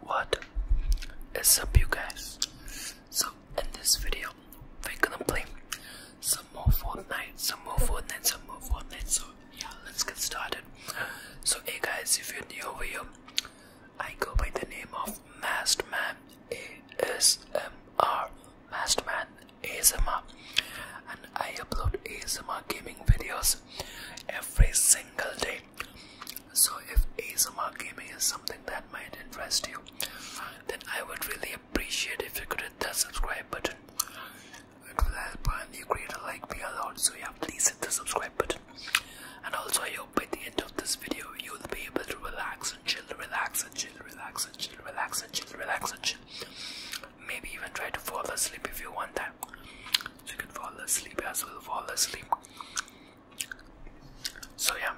What is up you guys? So in this video we're gonna play some more Fortnite, some more Fortnite, some more Fortnite. So yeah, let's get started. So hey guys, if you're new over here, I go by the name of Mastman ASMR. Mastman ASMR and I upload ASMR gaming videos every single day. So, if ASMR gaming is something that might interest you, then I would really appreciate if you could hit that subscribe button. It will help a new creator like me a lot. So, yeah, please hit the subscribe button. And also, I hope by the end of this video, you will be able to relax and chill, relax and chill, relax and chill, relax and chill, relax and chill. Maybe even try to fall asleep if you want that so you can fall asleep as well, fall asleep. So yeah,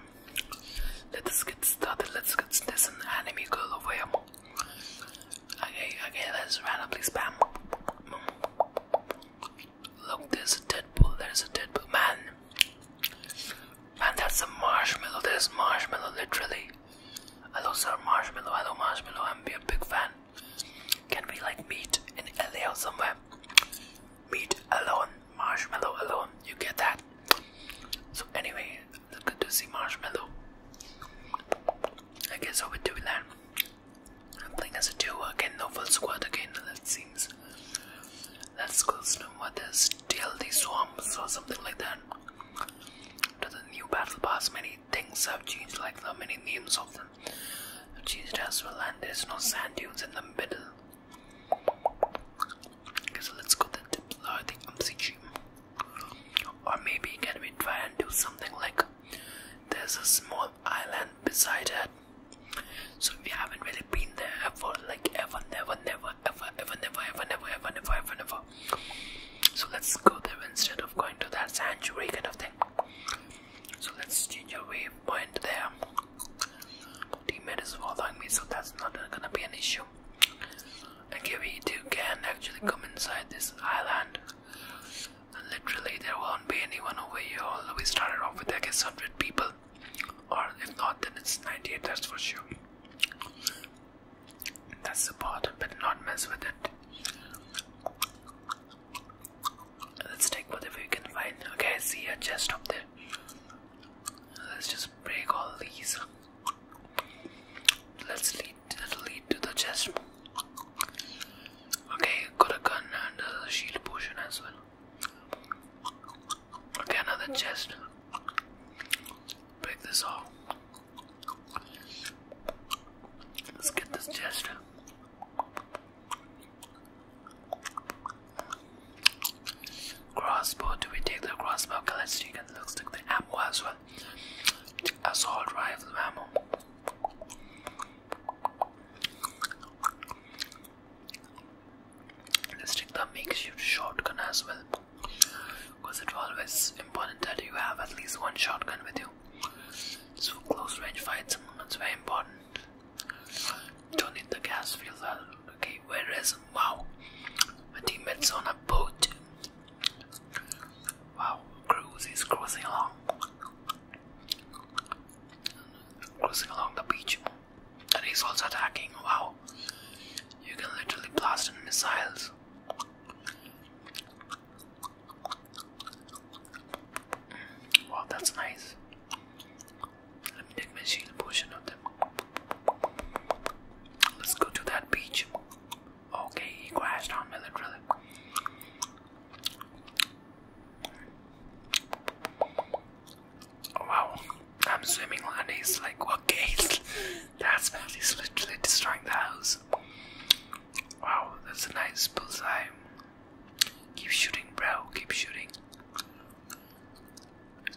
let's get started. Let's get this an anime girl over here. Okay, okay, let's randomly spam. Look, there's a Deadpool. There's a Deadpool. Man, And there's a marshmallow. There's marshmallow, literally. Hello, sir, marshmallow. Hello, marshmallow. I'm be a big fan. Can we like meet in LA or somewhere? Meet alone, marshmallow alone. You get that? So anyway, good to see marshmallow. I guess I would do that. I'm playing as a duo again, no full squad again. That seems. Let's go snow what is TLD swamps or something like that. To the new battle pass menu many things have changed, like the many names of them have changed as well, and there's no sand dunes in the middle. Okay, so let's go to the, uh, the MCG. Or maybe can we try and do something like there's a small island beside it. So we haven't really been there ever, like ever, never, never, ever, ever, never, ever, never, ever, never, ever, never. So let's go there instead of going to that sanctuary kind of thing. So let's change our mind there. Teammate is following me, so that's not gonna be an issue. Okay, we two can actually come inside this island. literally, there won't be anyone over here. Although we started off with I guess 100 people, or if not, then it's 98. That's for sure. That's the part, but not mess with it. Let's take whatever we can find. Okay, see a chest up there. Let's just break all these. Let's lead that'll lead to the chest. Okay, got a gun and a shield potion as well. Okay, another chest. Break this off. Let's get this chest. Crossbow, do we take the crossbow? Okay, let's take it. Looks like the ammo as well. Assault rifle ammo. Let's take the makeshift shotgun as well. Because it's always important that you have at least one shotgun with you. So close range fights that's very important. Don't need the gas filter. Okay, where is wow? team teammates on a boat. Wow, cruise is cruising along. Cruising along the beach. And he's also attacking. Wow. You can literally blast in missiles. Wow, that's nice. Let me take my shield potion of them. Let's go to that beach. Okay, he crashed on me literally. wow, I'm swimming and he's like, okay, that's bad. He's literally destroying the house. Wow, that's a nice bullseye. Keep shooting, bro. Keep shooting.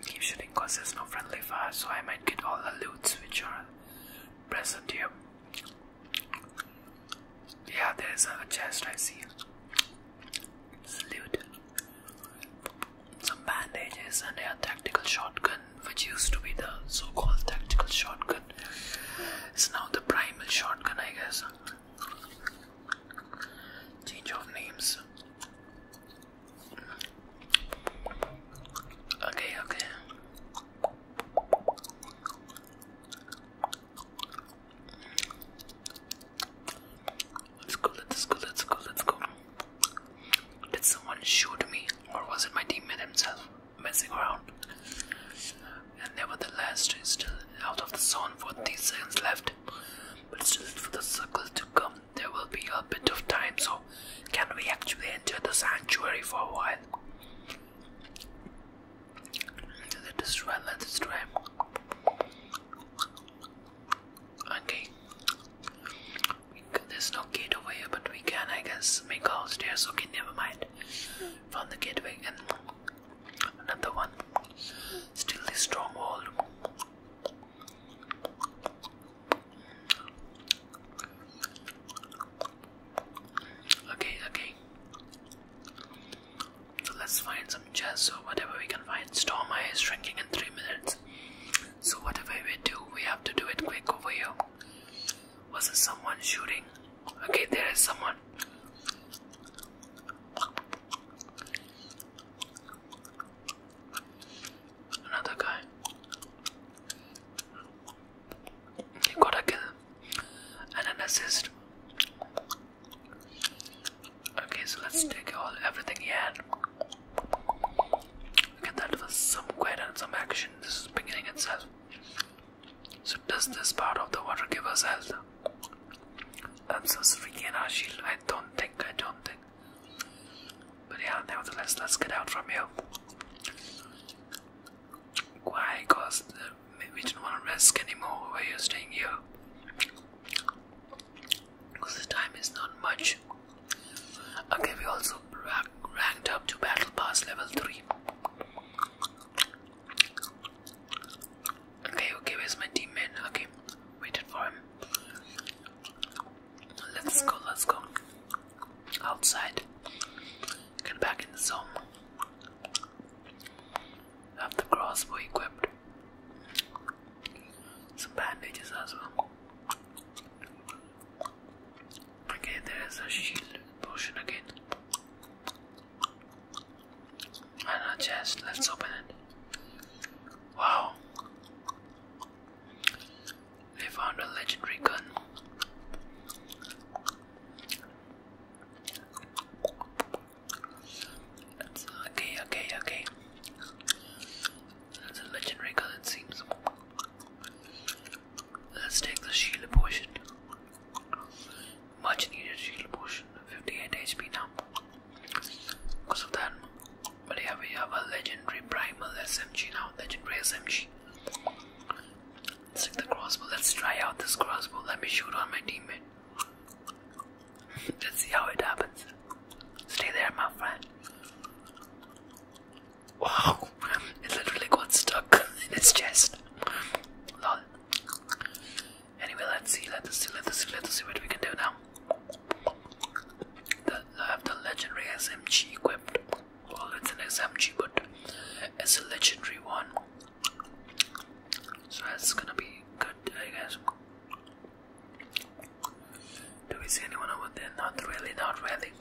Keep shooting because there's no friendly fire, so I might get all the loots which are present here. Yeah, there's a chest I see. It's loot. Some bandages and a tactical shotgun which used to be the so-called tactical shotgun. It's now the primal shotgun, I guess. Change of names. Okay, okay. Let's go, let's go, let's go, let's go. Did someone shoot me, or was it my teammate himself? messing around. And nevertheless, she's still out of the zone for 30 seconds left. But still, for the circle to come, there will be a bit of time. So, can we actually enter the sanctuary for a while? Let us try, let us try. Okay. There's no gate over here, but we can, I guess, make all stairs. Okay, never mind. From the gateway and another one. Still this strong wall. Okay, okay. So let's find some chairs or whatever we can find. Storm eye is shrinking in three minutes. So whatever we do, we have to do it quick over here. Was there someone shooting? Okay, there is someone. Another guy. He got a kill and an assist. Okay, so let's take all everything he had. Get that was some quiet and some action. This is beginning itself. So does this part of the water give us health? I'm so freaking Ashil. I don't think, I don't think. But yeah, nevertheless, let's get out from here. Why? Because uh, we don't want to risk anymore where you're staying here. Because the time is not much. Okay, we also ranked up to Battle Pass level 3. Okay, okay, where's my team teammate? Okay, waited for him. Let's go, let's go. Outside. Get back in the zone. Have the crossbow equipped. Some bandages as well. Okay, there is a shield potion again. And a chest, let's open it. Wow! We found a legendary gun. okay, okay, okay. That's a legendary gun, it seems. Let's take the shield potion. Much needed shield potion. 58 HP now. Because of that. But here we have a legendary primal SMG now. Legendary SMG. Let's take the crossbow. Let's try out this crossbow. Let me shoot on my teammate. Let's see how it happens. Stay there, my friend. Wow, it literally got stuck in its chest. Anyway, let's see, let's see, let's see, let's see what we can do now. The, I have the legendary SMG equipped. Well, it's an SMG, but it's a legendary one. So that's gonna be good, I guess. Do we see anyone over there? Not really, not really.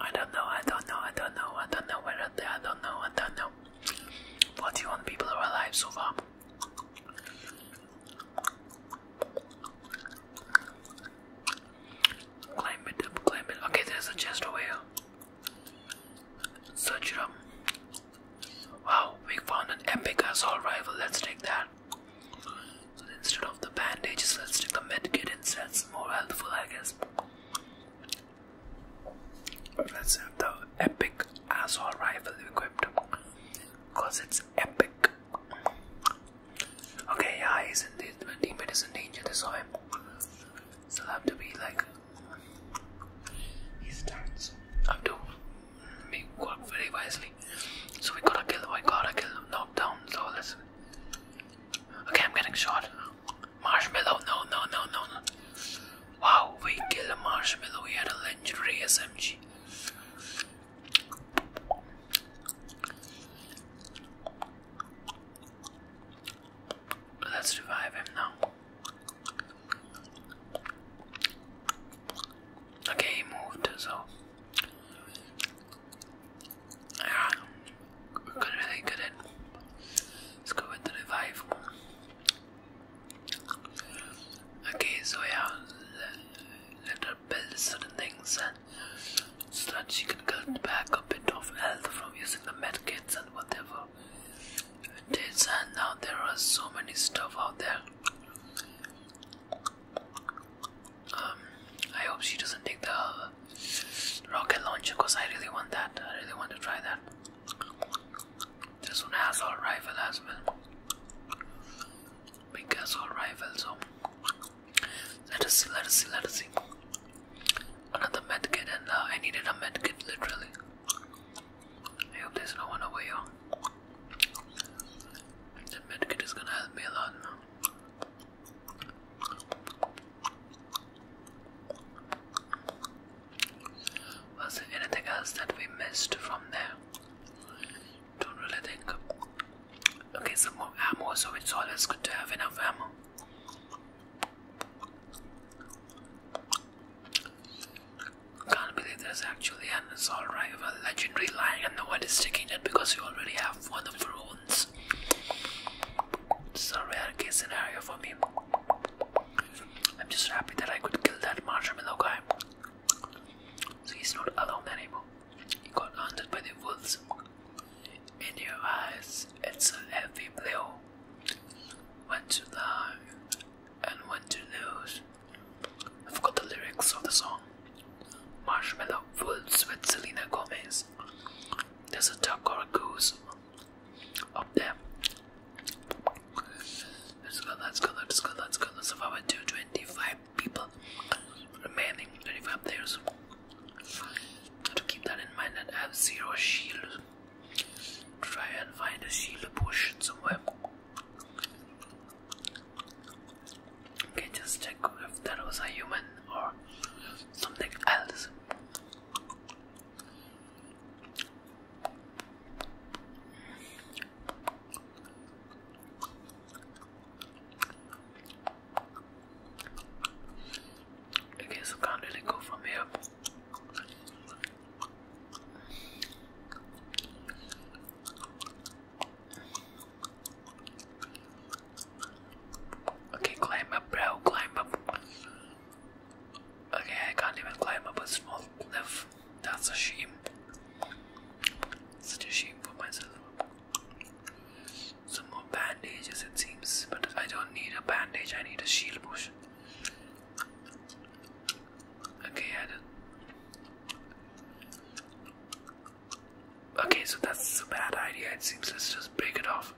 I don't know, I don't know, I don't know, I don't know where are they, I don't know, I don't know. 41 people are alive so far. Climb it up, climb it. Okay, there's a chest over here. Search it up. Wow, we found an epic assault rifle. Let's take that. instead of the bandages, let's take the medkit instead. It's more helpful, I guess. Let's have the epic assault rifle equipped because it's epic. Okay, yeah, he's in the, my teammate is in danger, this time. So I have to be like. He's done, so I am done we work very wisely. So we gotta kill them. I gotta kill them. Knock down. So let's. Okay, I'm getting shot. Marshmallow. No, no, no, no, no. Wow, we killed a marshmallow. We had a legendary SMG. Let's revive him now. Okay, moved, so. Yeah, we're gonna really good at Let's go with the revive. Okay, so yeah, let her build certain things and uh, so that she can get back a bit of health from using the medkits and whatever it is. And now there are so many stuff out there um, I hope she doesn't take the rocket launcher because I really want that. I really want to try that. This one has a rifle as well. Big assault rifle, so let us see, let us see, let us see. Another medkit, and uh, I needed a medkit literally. I hope there's no one over here. The medkit is gonna help me a lot. Was there anything else that we missed from there? Don't really think. Okay, some more ammo, so it's always good to have enough ammo. Can't believe there's actually an assault rifle legendary line and no one is taking it because you already have one of your own. This a rare case scenario for me. I'm just happy that I could kill that marshmallow guy. So he's not alone anymore. He got hunted by the wolves. In your eyes, it's a heavy blow. When you die, and when to lose. I forgot the lyrics of the song. Marshmallow fools with Selena Gomez. There's a duck or a goose up there. Let's go, let's go, let's go, let's go. Let's survive to 25 people remaining 25 players. To keep that in mind, that I have zero shield. Try and find a healer potion somewhere. Okay, just check if that was a human or something else. Okay, so can't really go from here. Okay, climb up, bro. Climb up. Okay, I can't even climb up a small cliff. That's a shame. Such a shame for myself. Some more bandages, it seems, but I don't need a bandage, I need a shield potion. Okay, I do Okay, so that's a bad idea. It seems let's just break it off.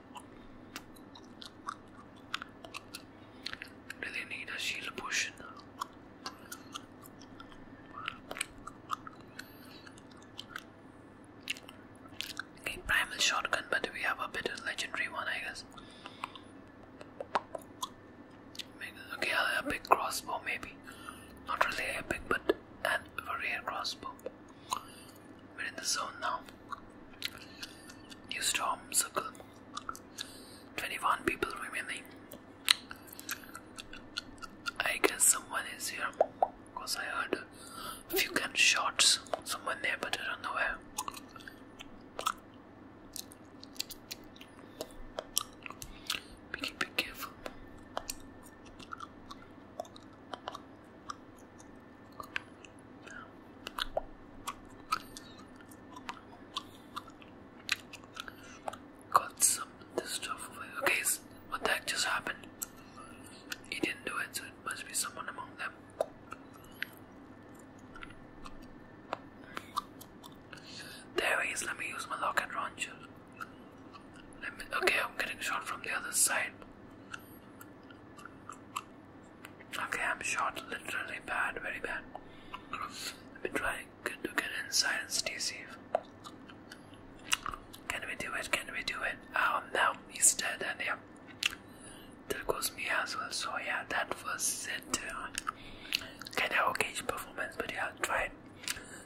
Do they need a shield potion? Okay, primal shotgun, but we have a better legendary one, I guess. Okay, I'll crossbow maybe. Not really epic, but an rare crossbow. We're in the zone now. New storm circle. 21 people remaining. I guess someone is here. Because I heard a few gunshots. Someone there, but I don't know where be careful. Got some stuff Okay, what the heck just happened? He didn't do it, so it must be someone among them. There he is. Let me use my locket launcher. Let me. Okay, I'm getting shot from the other side. Okay, I'm shot. Literally bad, very bad. I've been trying to get inside and stay safe. Can we do it? Can we do it? Oh no, he's dead, and yeah. That goes me as well. So yeah, that was it. Kind of okay performance, but yeah, try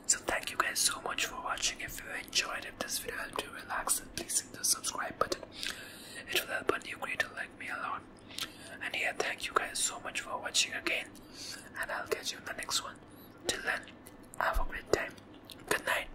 So thank you guys so much for watching. If you enjoyed, if this video helped you relax, then please hit the subscribe button. It will help a new creator like me a lot. And yeah, thank you guys so much for watching again. And I'll catch you in the next one. Till then, have a great time. Good night.